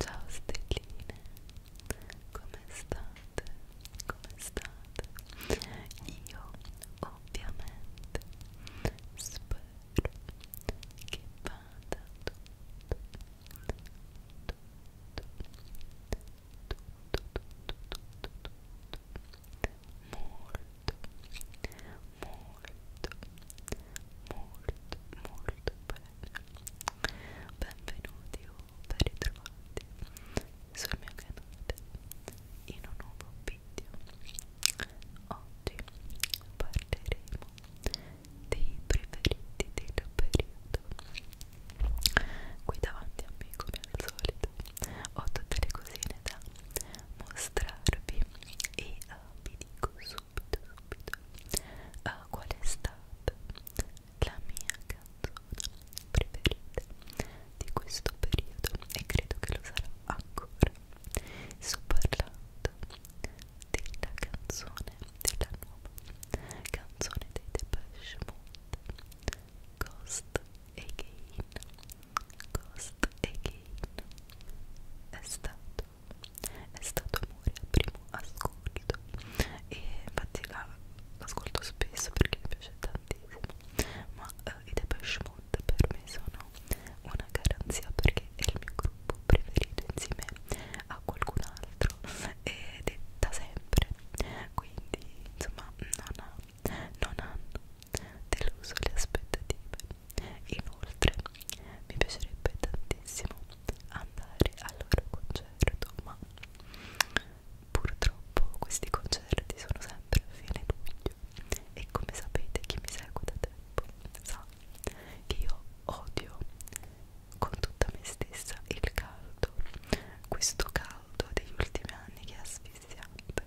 Ciao stelline, come state? Come state? Io ovviamente spero che vada tutto molto bene benvenuti o ben ritrovati sul mio canale in un nuovo video oggi parleremo dei preferiti del periodo qui davanti a me come al solito ho tutte le cosine da mostrarvi e uh, vi dico subito subito uh, qual è stata la mia canzone preferita di questo periodo e credo che lo sarà ancora sto parlando della canzone, della nuova canzone dei Depeche Mode Ghost Again Ghost Again è stato, è stato amore al primo ascolto e infatti l'ascolto la, spesso perché mi piace tantissimo ma eh, i Depeche Mode per me sono una garanzia perché è il mio gruppo preferito insieme a qualcun altro ed da sempre quindi insomma non, ha, non hanno deluso le aspettative inoltre mi piacerebbe tantissimo andare al loro concerto ma purtroppo questi concerti sono sempre a fine luglio e come sapete chi mi segue da tempo sa che io odio con tutta me stessa il caldo, questo caldo degli ultimi anni che è asfissiante.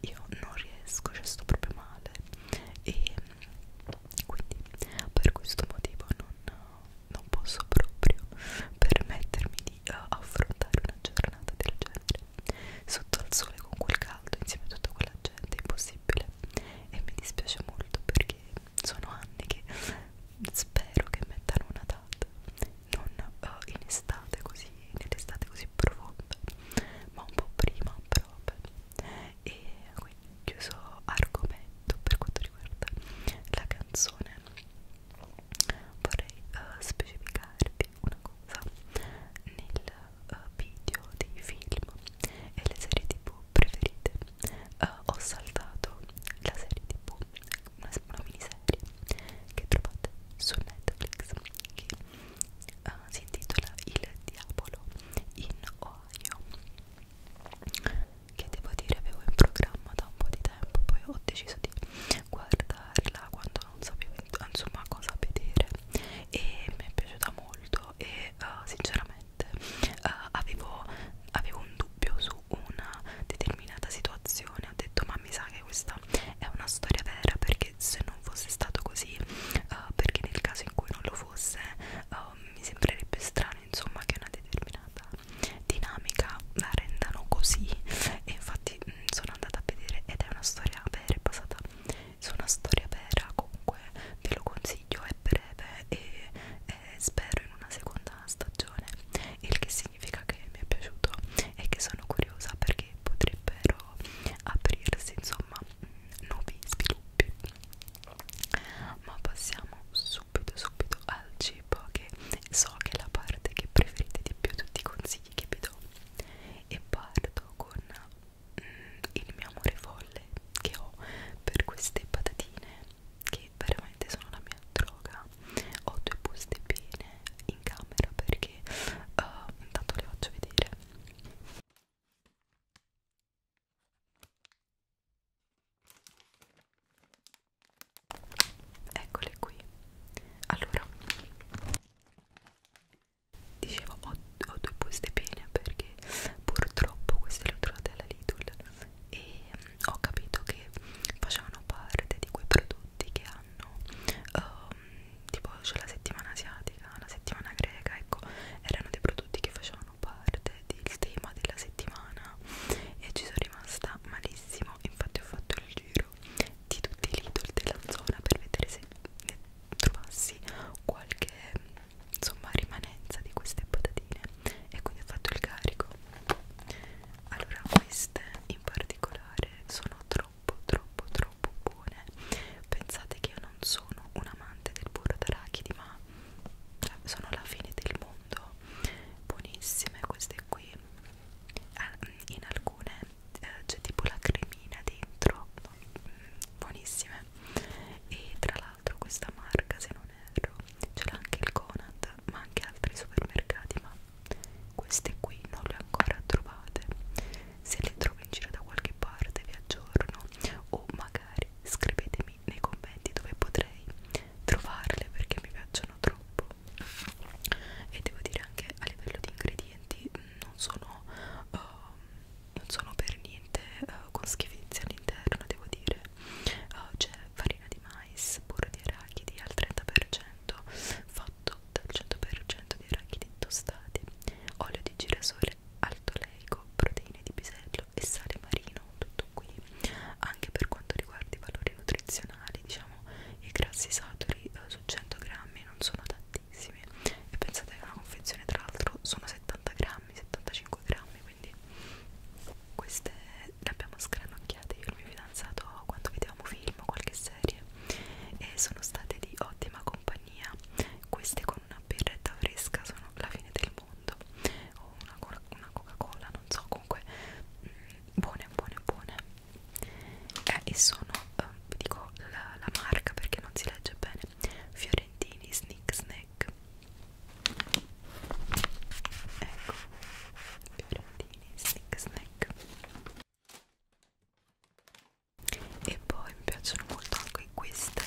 Io non riesco, cioè sto proprio male e quindi per questo motivo non, non posso proprio permettermi di eh, affrontare una giornata del genere sotto al sole con quel caldo insieme a tutta quella gente, è impossibile e mi dispiace molto perché sono anni che spero che mettano una data non uh, in estate così nell'estate così profonda ma un po' prima però vabbè e quindi chiuso argomento per quanto riguarda la canzone vorrei uh, specificarvi una cosa nel uh, video dei film e le serie tv preferite uh, ho saltato la serie tv una, una miniserie che trovate su Netflix che uh, si intitola Il Diavolo in Ohio che devo dire avevo in programma da un po' di tempo poi ho deciso di guardarla quando non sapevo insomma cosa vedere e mi è piaciuta molto e uh, sinceramente virgolette, uh, avevo, avevo un dubbio su una determinata situazione. Ho detto, ma mi sa che questa è una storia vera perché se non fosse stato così, uh, perché nel caso in cui non lo fosse, uh, mi sembrerebbe strano insomma che una determinata dinamica la rendano così. E infatti mh, mm, sono andata a vedere ed è una storia vera, è basata su una storia vera. Comunque ve lo consiglio, è breve e eh, spero in una seconda stagione il che significa che mi è piaciuto e che sono curiosa perché potrebbero aprirsi insomma mm, nuovi sviluppi ma passiamo subito subito al cibo che so che è la parte che preferite di più tutti i consigli che vi do e parto con mm, il mio amore for folle che ho per queste patatine che veramente sono la mia droga ho due buste piene in camera perché uh, intanto le faccio vedere eccole qui allora dicevo ho, ho due buste piene perché purtroppo queste le ho trovate alla Lidl e mm, ho capito che facevano parte di quei prodotti che hanno um, tipo c'è cioè la settimana asiatica, la settimana greca, ecco, erano dei prodotti che facevano parte del tema della settimana e ci sono rimasta malissimo, infatti ho fatto il giro di tutti i Lidl della zona per vedere se ne trovassi qualche insomma rimanenza di queste patatine e quindi ho fatto il carico allora queste in particolare sono troppo troppo troppo buone pensate che io non sono un amante del burro d'arachidi ma cioè, sono la fine del mondo buonissime queste qui ah, mm, in alcune eh, c'è tipo la cremina dentro mm, buonissime e tra l'altro l'altro questa marca se non erro ce l'ha anche il Conad ma anche altri supermercati ma queste qui non le ho ancora trovate se le trovo in giro da qualche parte vi aggiorno o magari scrivetemi nei commenti dove potrei trovarle perché mi piacciono troppo e devo dire anche a livello di ingredienti non sono uh, non sono per niente uh, con schifezze all'interno, devo dire. Uh, C'è farina di mais, burro di arachidi al 30%, fatto dal 100% di arachidi tostati, olio di girasole, alto leico, proteine di pisello e sale marino, tutto qui. Anche per quanto riguarda i valori nutrizionali, diciamo, i grassi saturi uh, su 100 grammi non sono tantissimi. E pensate che una confezione, tra l'altro, sono 70 grammi, 75 grammi, quindi queste le abbiamo scranocchiate io e il mio fidanzato quando vedevamo film o qualche serie e sono state di ottima compagnia queste con una birretta fresca sono la fine del mondo o una, una coca cola non so comunque mh, mm, buone buone buone eh, e sono eh, vi dico la, la marca perché non si legge bene fiorentini snick snack ecco fiorentini snick snack e poi mi piacciono molto anche queste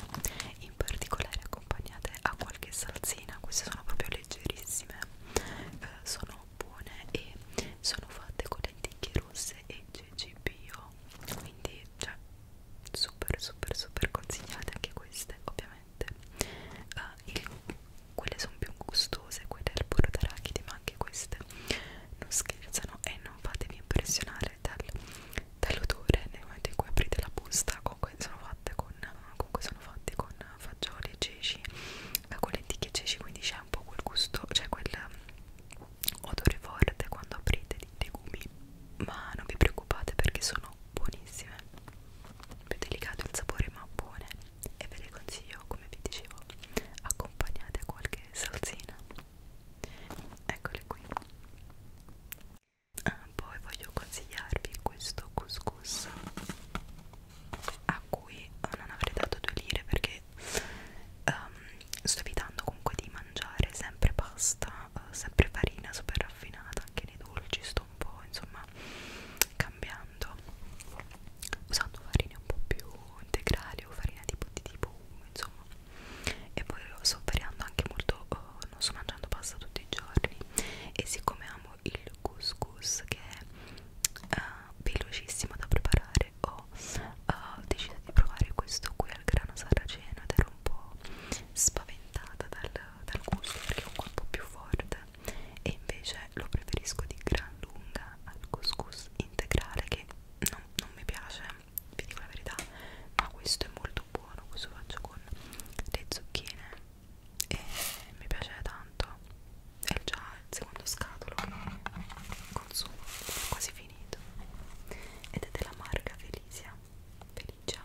in particolare accompagnate a qualche salsina queste sono proprio leggerissime eh, sono buone e sono fatte con lenticchie rosse e cecipio quindi cioè super super super consigliate anche queste ovviamente uh, il, quelle sono più gustose quelle al burro d'arachidi ma anche queste non scherzano e non fatevi impressionare dal, dall'odore nel momento in cui aprite la busta comunque sono fatte con, comunque sono fatte con fagioli e ceci eh, con lenticchie e ceci quindi c'è un po' quel gusto cioè quel odore forte quando aprite di legumi ma non vi preoccupate perché sono buonissime più delicato il sapore ma buone e ve le consiglio come vi dicevo accompagnate a qualche salsina eccole qui ah, poi voglio consigliarvi questo couscous a cui non avrei dato due lire perché um, sto evitando comunque di mangiare sempre pasta ma eh, sempre farina super raffinata anche nei dolci sto un po' insomma cambiando usando farine un po' più integrali o farina tipo di tipo 1 insomma e poi sto variando anche molto eh, non sto mangiando pasta tutti i giorni e siccome amo il couscous che è eh, velocissimo da preparare ho eh, deciso di provare questo qui al grano saraceno ed ero un po' spaventata spaventata dal, dal gusto perché è un colpo più forte e invece lo preferisco di gran lunga al couscous integrale che non, non mi piace, vi dico la verità, ma questo è molto buono, questo lo faccio con le zucchine e mi piace tanto, è già il secondo scatolo consumo, è quasi finito ed è della marca Felicia, Felicia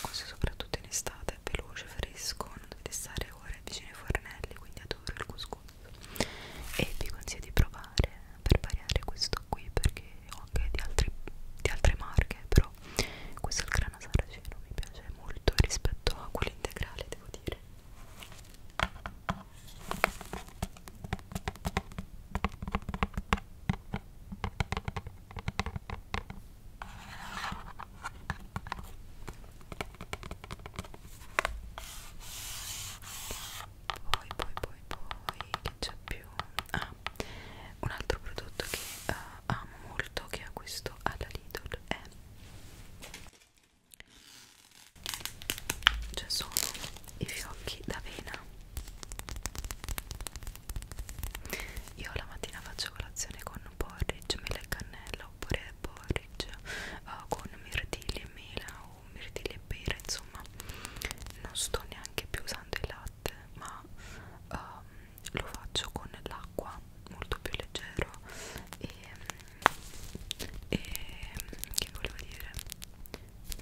questo soprattutto in estate è veloce, fresco, non dovete stare ore vicino ai fornelli, quindi adoro il couscous. E vi consiglio di provare per variare questo qui perché ho anche di, altri, di altre marche, però questo è il grano parmigiano saraceno mi piace molto rispetto a quello integrale devo dire poi poi poi poi che c'è più ah un altro prodotto che uh, amo molto che acquisto alla Lidl è cioè sono i fiocchi d'avena io la mattina faccio colazione con porridge, mele e cannella oppure porridge uh, con mirtilli e mela o mirtilli e pera insomma non sto neanche più usando il latte ma um, lo faccio con l'acqua molto più leggero e, e che volevo dire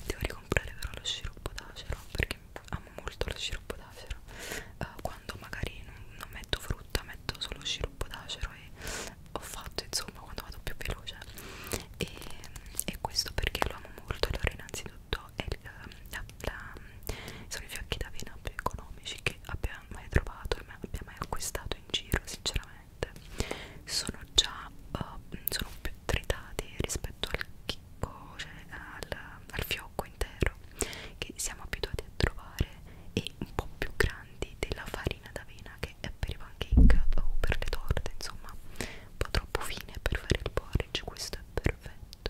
devo ricomprare però lo sciroppo d'acero perché amo molto lo sciroppo d'acero uh, quando magari non, non metto frutta metto solo sciroppo d'acero e ho fatto insomma quando vado più veloce e, e questo perché lo amo molto allora innanzitutto è eh, la la, sono i fiocchi d'avena più economici che abbia mai trovato e abbia mai acquistato in giro sinceramente sono già uh, sono più tritati rispetto al chicco cioè al, al fiocco intero che siamo abituati a trovare e un po' più grandi della farina d'avena che è per i pancake o per le torte insomma un po' troppo fine per fare il porridge questo è perfetto minuto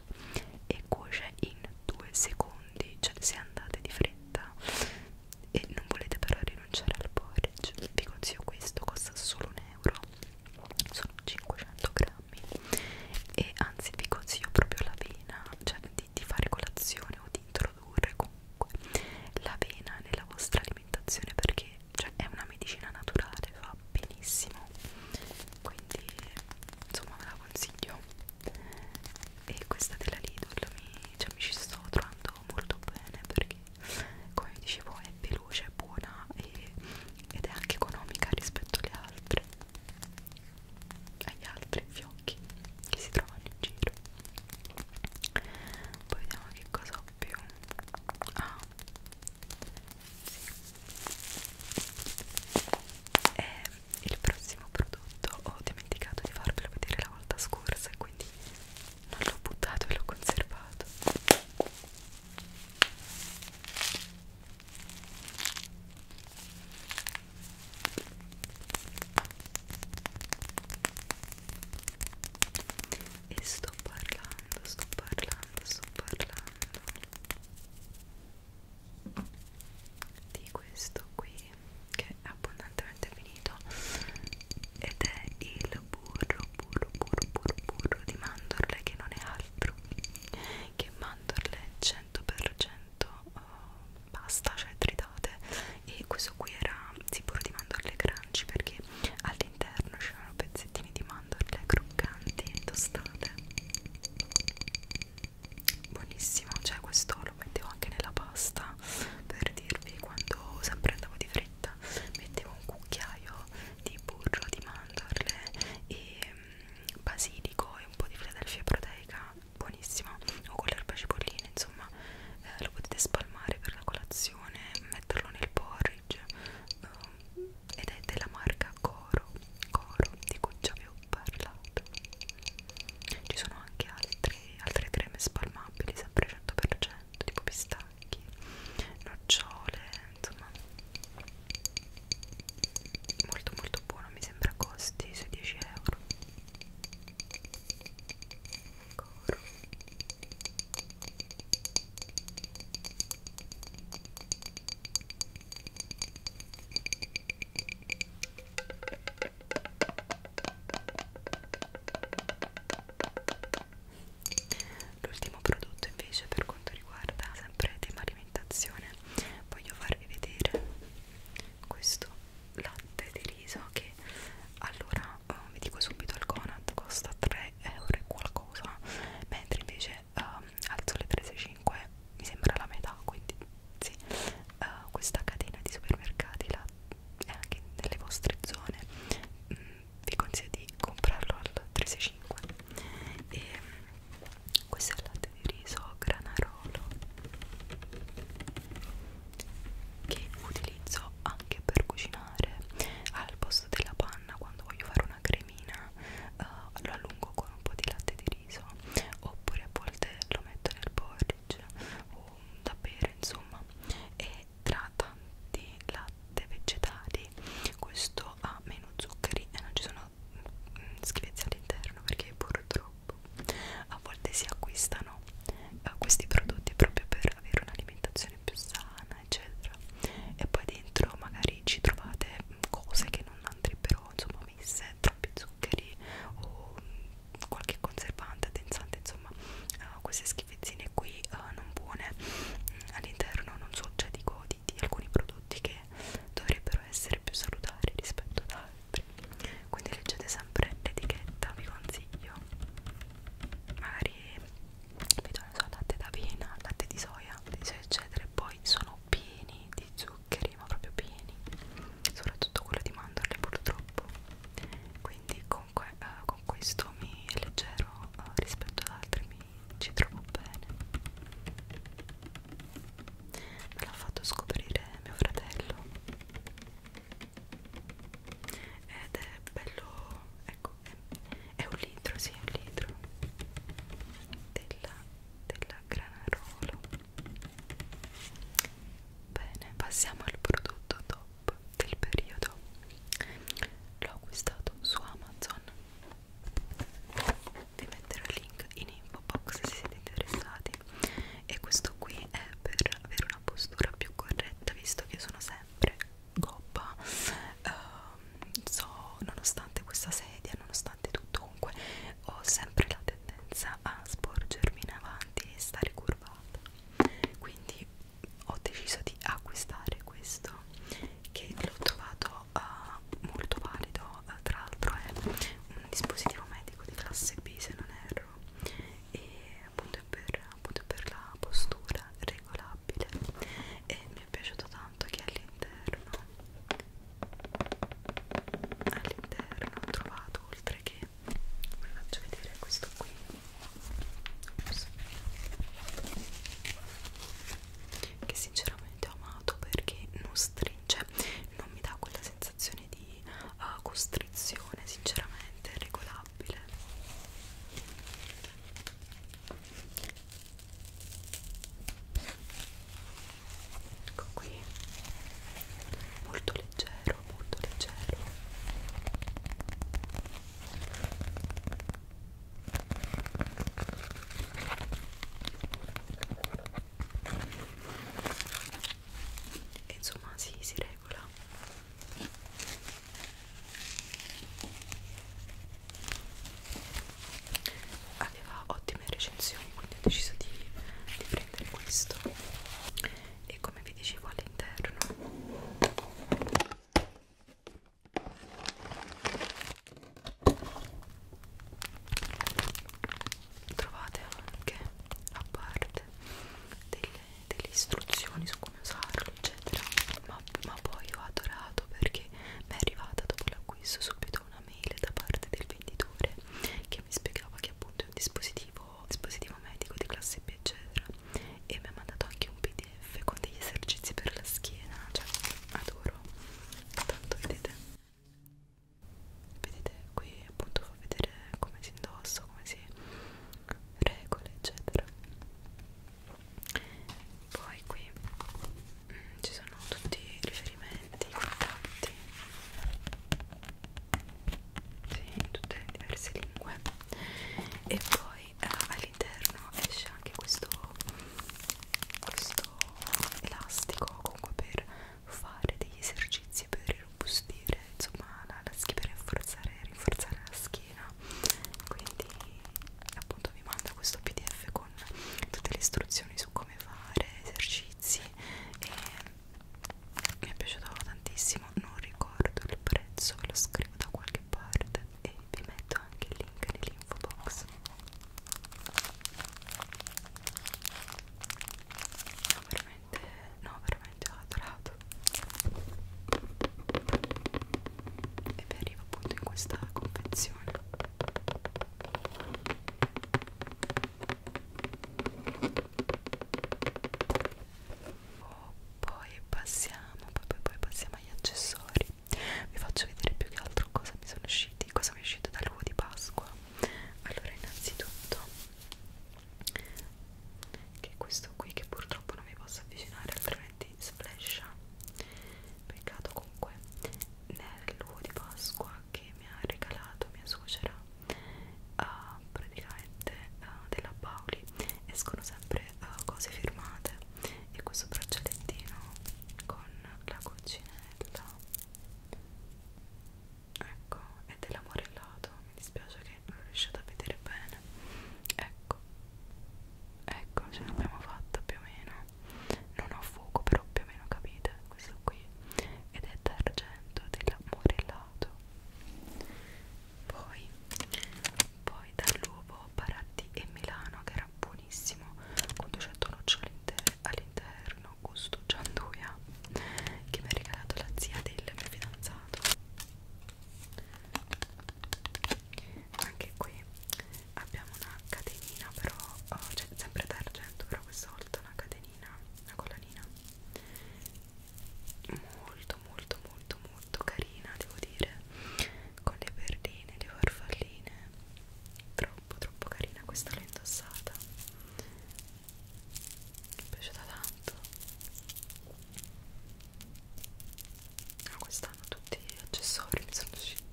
e cuoce in 2 secondi cioè se andate di fretta e non volete però rinunciare al porridge vi consiglio questo costa solo un euro sono 500 grammi e anzi vi consiglio proprio l'avena cioè di, di fare colazione o di introdurre comunque l'avena nella vostra alimentazione perché cioè, è una medicina naturale fa benissimo quindi insomma ve la consiglio e questa della Lidl mi, cioè, mi ci sto trovando molto bene perché come vi dicevo è veloce, è buona e, ed è anche economica rispetto alle altre agli altri fiocchi che si trovano in giro poi vediamo che cosa ho più ah sì. è il prossimo prodotto ho dimenticato di farvelo vedere la volta scorsa quindi non l'ho buttato e l'ho conservato e sto parlando sto parlando sto parlando di questo qui che è abbondantemente finito ed è il burro burro burro burro burro di mandorle che non è altro che mandorle 100% pasta cioè tritate e questo qui era sicuro di mandorle crunchy perché all'interno c'erano pezzettini di mandorle croccanti e tostate buonissimo cioè questo lo mettevo anche nella pasta per dirvi quando sempre andavo di fretta mettevo un cucchiaio di burro di mandorle e um, basilico e un po' di filadelfia proteica buonissimo o con le erbe cipolline insomma eh, lo potete spalmare per la colazione metterlo nel porridge um, ed è della marca Coro Coro di cui già vi ho parlato ci sono anche altre, altre creme spalmabili sempre 100% tipo pistacchi nocciole insomma molto molto buono mi sembra costi sui 10 euro Coro. L'ultimo prodotto invece per quanto riguarda sempre tema alimentazione voglio farvi vedere questo latte di riso che allora eh, vi dico subito al Conad costa 3 euro e qualcosa mentre invece um, al sole 365 mi sembra la metà quindi sì uh, questa catena di supermercati la, è anche nelle vostre zone mm, vi consiglio di comprarlo al 365 e mm, questo è il latte di riso granarolo che utilizzo anche per cucinare al posto della panna quando voglio fare una cremina uh, lo allungo con un po' di latte di riso riso oppure a volte lo metto nel porridge o da bere insomma e tra tanti latte vegetali questo ha meno zuccheri e non ci sono mm, schifezze all'interno perché purtroppo a volte si acquistano eh, questi prodotti proprio per avere un'alimentazione più sana eccetera e poi dentro magari ci trovate mm, cose che non andrebbero insomma avevo messe troppi zuccheri o mm, qualche conservante addensante insomma uh, queste schifezzine qui uh, non buone mm, all'interno non so cioè dico di, di alcuni prodotti che dovrebbero essere più salutari rispetto ad altri quindi leggete sempre l'etichetta vi consiglio magari vedo so, latte d'avena latte di soia eccetera e poi sono pieni di zuccheri zuccheri ma proprio pieni soprattutto quello di mandorle purtroppo quindi comunque eh, con questo mi leggero eh, rispetto ad altri mi ci trovo bene me l'ha fatto scoprire mio fratello ed è bello ecco è, è un litro sì è un litro della della Granarolo bene passiamo al prodotto top del periodo l'ho acquistato su Amazon vi metterò il link in info box se siete interessati e questo qui è per avere una postura più corretta visto che sono sempre gobba uh, so nonostante questa sedia nonostante tutto Dunque, ho sempre la tendenza a sporgermi in avanti e stare curvata. Quindi ho deciso di acquistare questo che l'ho trovato uh, molto valido, uh, tra l'altro è un dispositivo medico di classe B se non erro e appunto è per, appunto è per la postura regolabile e mi è piaciuto tanto che all'interno all'interno ho trovato oltre che vi faccio vedere questo qui Ops. che sinceramente ho amato perché non stringe non mi dà quella sensazione di uh, costrizione sinceramente è regolabile ecco qui molto leggero molto leggero e insomma si, si regola aveva ottime recensioni quindi ho deciso di, di prendere questo e come vi dicevo all'interno trovate anche a parte delle, delle istruzioni su come usarlo eccetera ma, ma poi ho adorato perché mi è arrivata dopo l'acquisto subito una mail da parte del venditore che mi spiegava che appunto è un dispositivo, dispositivo medico di classe B eccetera e mi ha mandato anche un pdf con degli esercizi per la schiena cioè adoro tanto vedete vedete qui appunto fa vedere come si indossa come si regole eccetera poi qui ci sono tutti i riferimenti, i contatti sì, in tutte le diverse lingue e poi eh, all'interno esce anche questo questo elastico comunque per fare degli esercizi per irrobustire insomma la, la schiena per rinforzare, rinforzare la schiena quindi appunto vi manda questo pdf con tutte le istruzioni su come fare esercizi e mi è piaciuto tantissimo non ricordo il prezzo ve lo scrivo da qualche parte e vi metto anche il link nell'info box no veramente no veramente ho adorato e vi arrivo appunto in questa confezione poi passiamo, poi, poi, poi passiamo agli accessori. Vi faccio vedere più che altro cosa mi sono usciti, cosa mi è uscito dall'uovo di Pasqua. Allora, innanzitutto, che è questo qui che purtroppo non vi posso avvicinare, altrimenti splescia peccato comunque nel luogo di Pasqua che mi ha regalato mia suocera uh, praticamente uh, della Pauli escono sempre uh, cose firmate e questo braccialettino con la coccinella ecco è dell'amorellato mi dispiace che non riuscite a vedere bene ecco ecco ce l'abbiamo fatta più o meno non ho fuoco però più o meno capite questo qui ed è d'argento dell'amorellato poi poi dall'uovo Baratti e Milano che era buonissimo con 200 nocciole all'interno gusto gianduia che mi ha regalato la zia del mio fidanzato anche qui abbiamo una catenina però oh, cioè, sempre d'argento però questa volta una catenina una collanina molto molto molto molto carina devo dire con le perline le farfalline troppo troppo carina questa l'ho indossata mi è piaciuta tanto no, quest'anno tutti gli accessori mi sono usciti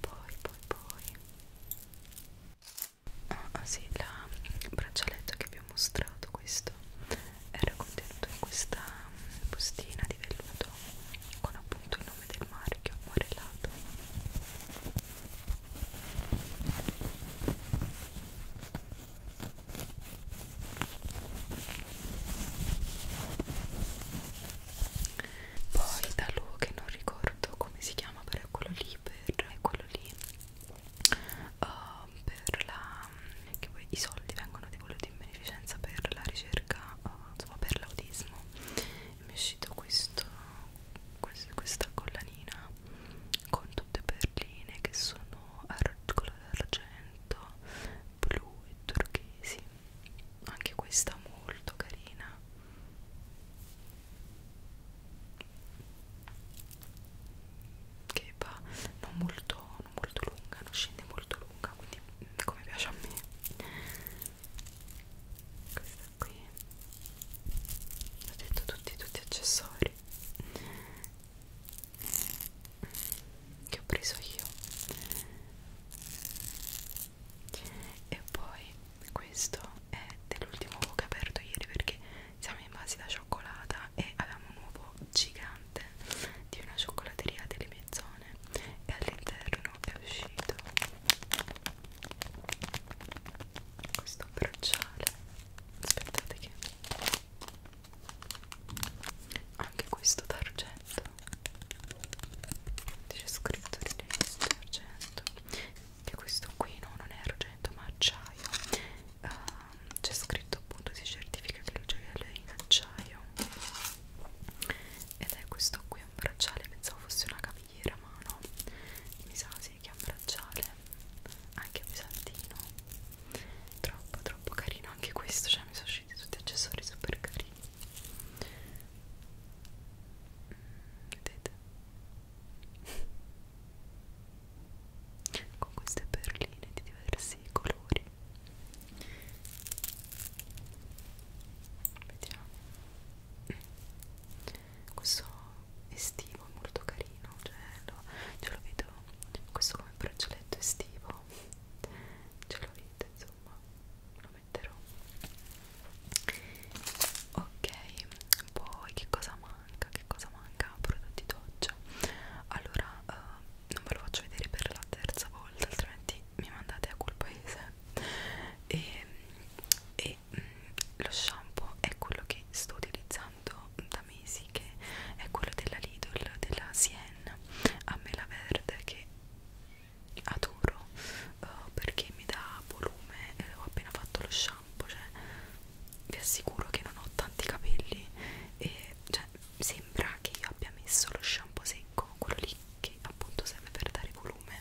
poi poi poi ah, ah sì il braccialetto che vi ho mostrato questo era contenuto in questa mm, bustina di velluto con appunto il nome del marchio morellato poi da lui che non ricordo come si chiama però è quello lì per è quello lì uh, per la che poi i soldi vengono di quello di beneficenza per la ricerca uh, insomma per l'autismo mi è uscito questo, questo questa collanina con tutte perline che sono al colore d'argento blu e turchesi anche questa molto carina che va non molto, non molto lunga non scende molto lunga quindi mm, come piace a me questa qui ho detto tutti tutti accessori che ho preso io e poi questo è dell'ultimo che ho aperto ieri perché siamo invasi da cioccolata e avevamo un uovo gigante di una cioccolateria delle mie zone e all'interno è uscito questo bracciale aspettate che anche questo d'argento c'è scritto di argento che questo qui no, non è argento ma acciaio uh, c'è scritto appunto si certifica che il gioiello è in acciaio ed è questo qui un bracciale pensavo fosse una cavigliera ma no mi sa sì che è un bracciale anche pesantino troppo troppo carino anche questo cioè mi sono usciti tutti accessori super carini mm, vedete con queste perline di diversi colori vediamo questo estivo è molto carino cioè lo, ce lo vedo questo come braccialetto estivo ce lo vedo insomma lo metterò ok poi che cosa manca che cosa manca prodotti doccia allora eh, non ve lo faccio vedere per la terza volta altrimenti mi mandate a quel paese e, e mh, mm, lo shampoo è quello che sto utilizzando da mesi che è quello della Lidl della Sien a mela verde che adoro uh, perché mi dà volume eh, ho appena fatto lo shampoo cioè vi assicuro che non ho tanti capelli e cioè, sembra che io abbia messo lo shampoo secco quello lì che appunto serve per dare volume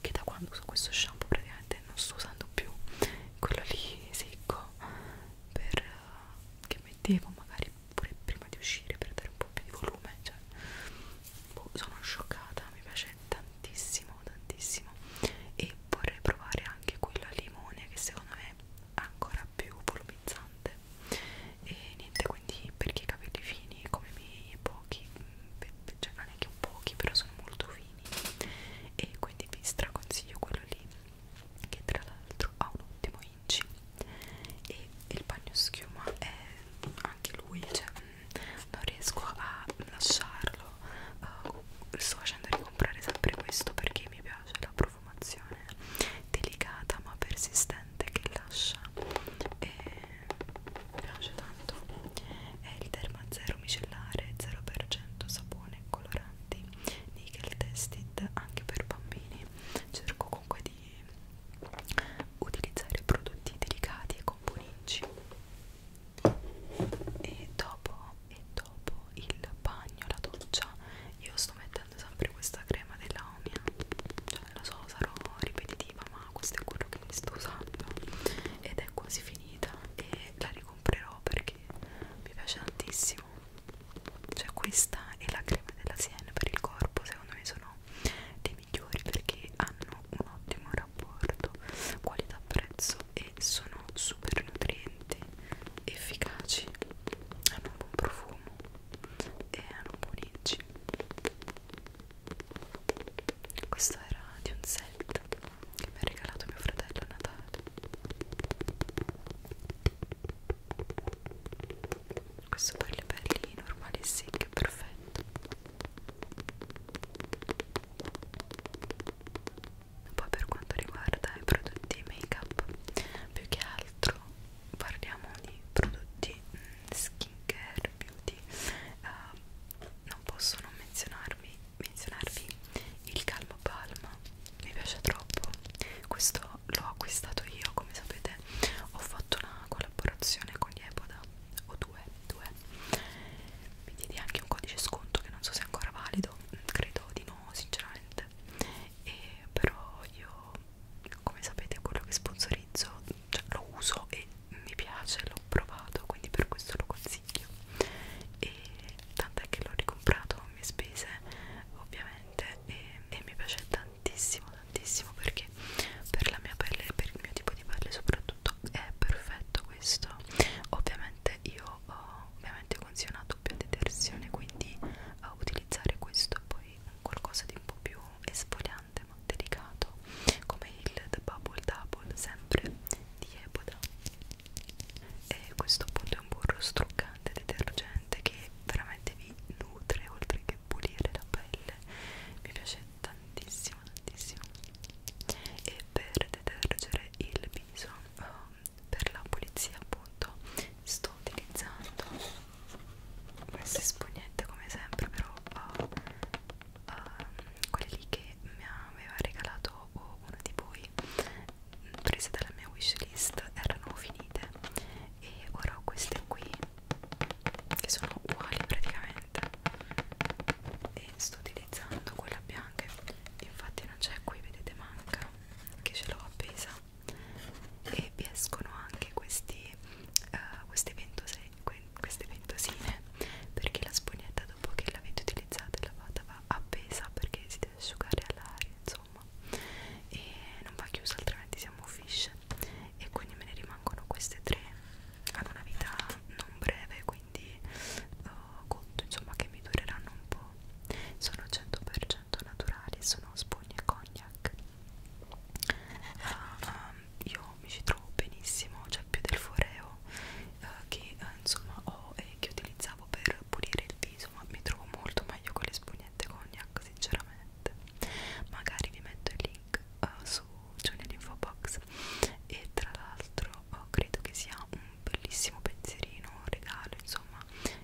che da quando uso questo shampoo praticamente non sto usando più quello lì secco per, uh, che mettevo magari anche pure prima di uscire per dare un po' più di volume cioè, boh, sono scioccata mi piace tantissimo tantissimo e vorrei provare anche quello al limone che secondo me è ancora più volumizzante e niente quindi per chi ha capelli fini come i miei pochi mm, cioè non è che pochi però sono molto fini e quindi vi straconsiglio quello lì che tra l'altro ha un ottimo inci e il bagno schiuma è anche lui cioè, mm, non riesco a lasciarlo uh, sto facendo ricomprare sempre questo perché mi piace la profumazione delicata ma persistente che lascia e mi piace tanto è il Derma Zero micellare 0% sapone coloranti nickel tested anche per bambini cerco comunque di utilizzare prodotti delicati e componenti e dopo, e dopo il bagno, la doccia io sto mettendo sempre questa crema della Omia cioè non lo so, sarò ripetitiva ma questo è quello che sto usando ed è quasi finita e la ricomprerò perché mi piace tantissimo cioè questa e la crema della Siena per il corpo secondo me sono dei migliori perché hanno un ottimo rapporto qualità-prezzo e sono super nutrienti, efficaci, hanno un buon profumo e hanno buoni questo era di un set che mi ha regalato mio fratello a Natale questo per le pelli normali e secche perfetto poi per quanto riguarda i prodotti make up più che altro parliamo di prodotti mm, skincare beauty uh, non posso non menzionarvi, menzionarvi il calmo palma mi piace troppo questo l'ho acquistato io come sapete ho fatto una collaborazione con gli Epoda o due, due mi diedi anche un codice sconto che non so se è ancora valido mm, credo di no sinceramente e però io come sapete quello che sponsorizzo cioè, lo uso e mi piace l'ho provato quindi per questo lo consiglio e tant'è che l'ho ricomprato a mie spese ovviamente e, e mi piace tantissimo tantissimo tantissimo perché per la mia pelle e per il mio tipo di pelle soprattutto è perfetto questo ovviamente io ho ovviamente ho consigliato più detersione quindi a utilizzare questo poi qualcosa di un po' più esfoliante ma delicato come il The Bubble Double sempre di Eboda e questo appunto è un burro struccante detergente che veramente vi nutre oltre che pulire la pelle mi piace tantissimo tantissimo e per detergere il viso um, per la pulizia appunto sto utilizzando queste spugnette come sempre però uh, uh, quelle lì che mi aveva regalato uno di voi prese dalla mia wishlist erano finite e ora ho queste qui che sono uguali praticamente e sto utilizzando quella bianca infatti non c'è qui vedete manca che ce l'ho appesa e vi escono anche questi, uh, queste, ventose, que, queste ventosine perché la spugnetta dopo che l'avete utilizzata e lavata va appesa perché si deve asciugare all'aria insomma e non va chiusa altrimenti siamo fish e quindi me ne rimangono queste tre hanno una vita non breve quindi uh, conto insomma che mi dureranno un po' sono 100% naturali sono spugne e cognac uh, um, io mi ci trovo benissimo cioè più del foreo uh, che uh, insomma ho e che utilizzavo per pulire il viso ma mi trovo molto meglio con le spugnette cognac sinceramente chat magari vi metto il link uh, su giù nell'info box e tra l'altro oh, credo che sia un bellissimo pensierino un regalo insomma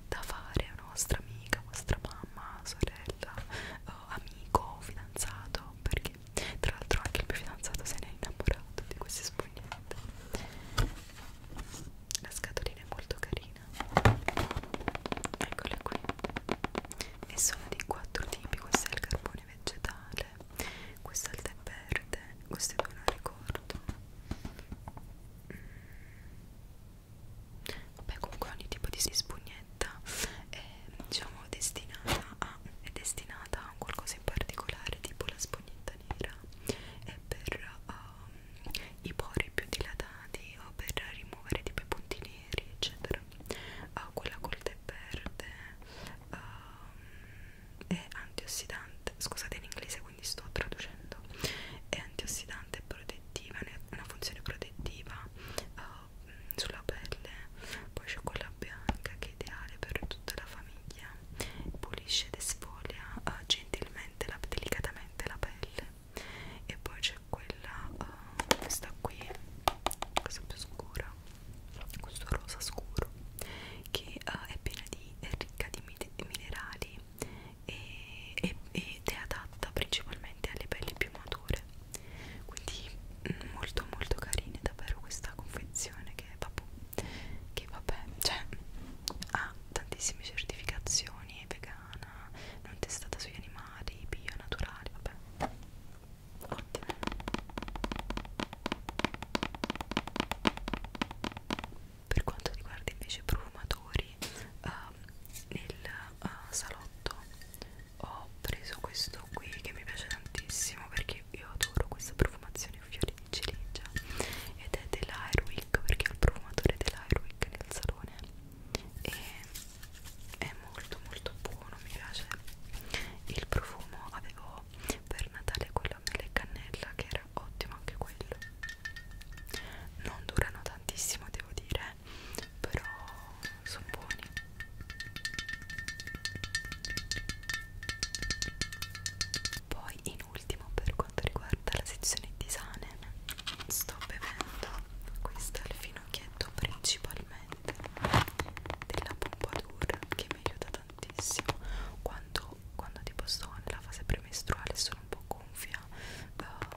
da fare a vostra amica vostra mamma sorella oh, amico fidanzato perché tra l'altro anche il mio fidanzato se ne è innamorato di queste spugnette la scatolina è molto carina eccole qui e sono di quattro tipi questo è il carbone vegetale questo è il tè verde questo è non ricordo mm. vabbè comunque ogni tipo di spugnetta è diciamo destinata a è destinata a qualcosa in particolare tipo la spugnetta nera è per uh, i pori più dilatati o per rimuovere tipo i punti neri eccetera uh, quella col tè verde uh, ehm, è antiossidante scusate in inglese quindi sto traducendo è antiossidante e protettiva ha una funzione protettiva uh, sulla pelle poi c'è quella bianca che è ideale per tutta la famiglia pulisce ed esfolia uh, gentilmente la, delicatamente la pelle e poi c'è quella uh, questa qui questa più scura questo rosa scuro che uh, è piena di è ricca di minerali e, e, ed è adatta principalmente alle pelli più mature quindi mm, molto molto carina davvero questa confezione che vabbè, che vabbè cioè ha tantissime certificazioni è vegana vegana, non testata sugli animali, bio, naturale, vabbè. Ottimo. Per quanto riguarda invece i profumatori, uh, nel uh, salotto ho preso questo qui che mi piace tantissimo perché io adoro questa profumazione fiori di ciliegia ed è dell'Airwick perché ho il profumatore dell'Airwick nel salone e è molto molto buono mi piace il profumo avevo per Natale quello nelle cannella che era ottimo anche quello non durano tantissimo devo dire però sono buoni poi in ultimo per quanto riguarda la sezione di tisane sto bevendo questo è il finocchietto principalmente della pompadour che mi aiuta tantissimo quando, quando tipo sto nella fase premestruale sono un po' gonfia uh,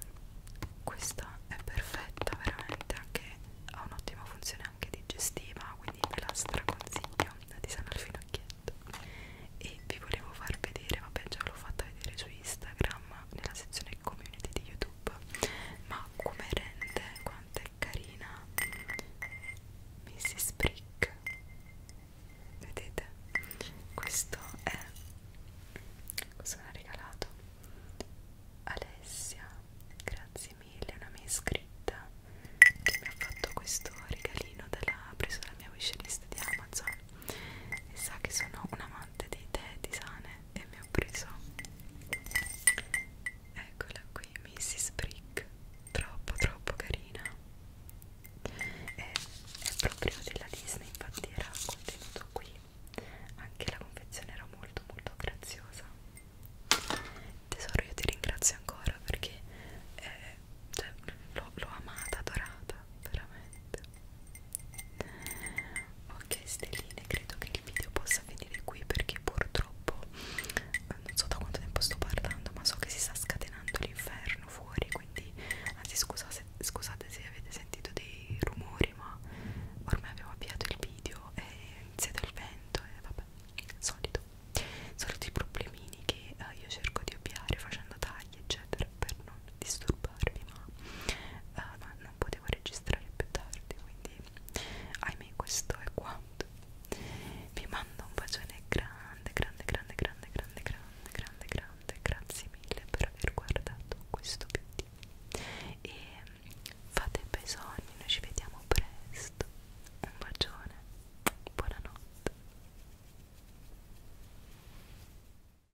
questa è perfetta veramente anche ha un'ottima funzione anche digestiva quindi ve la straconsiglio la tisana al finocchietto e vi volevo far vedere vabbè già l'ho fatta vedere su Instagram nella sezione nelle community di YouTube, ma come rende quanto è carina Mrs. Brick. Vedete? Questo è cosa mi ha regalato Alessia. Grazie mille, una mia iscritta che mi ha fatto questo regalino dalla presa dalla mia wishlist di Amazon e sa che sono una amante dei tè di sane e mi ho preso eccola qui Mrs. Brick troppo troppo carina e, è proprio della Disney infatti era contenuto qui anche la confezione era molto molto graziosa tesoro io ti ringrazio ancora perché eh, cioè, l'ho amata, adorata veramente ok stelline credo che il video possa finire qui perché purtroppo eh, non so da quanto tempo sto parlando ma so che si sta scatenando l'inferno fuori quindi anzi scusate, scusate se avete sentito dei rumori ma ormai avevo avviato il video e inizia il vento e eh, vabbè solito solito i problemini che eh, io cerco di ovviare facendo tardi tagli eccetera per non disturbarvi ma uh, eh, no, non potevo registrare più tardi quindi ahimè questo è quanto vi mando un bacione grande grande grande grande grande grande grande grande grazie mille per aver guardato questo video e fate bei sogni noi ci vediamo presto un bacione buonanotte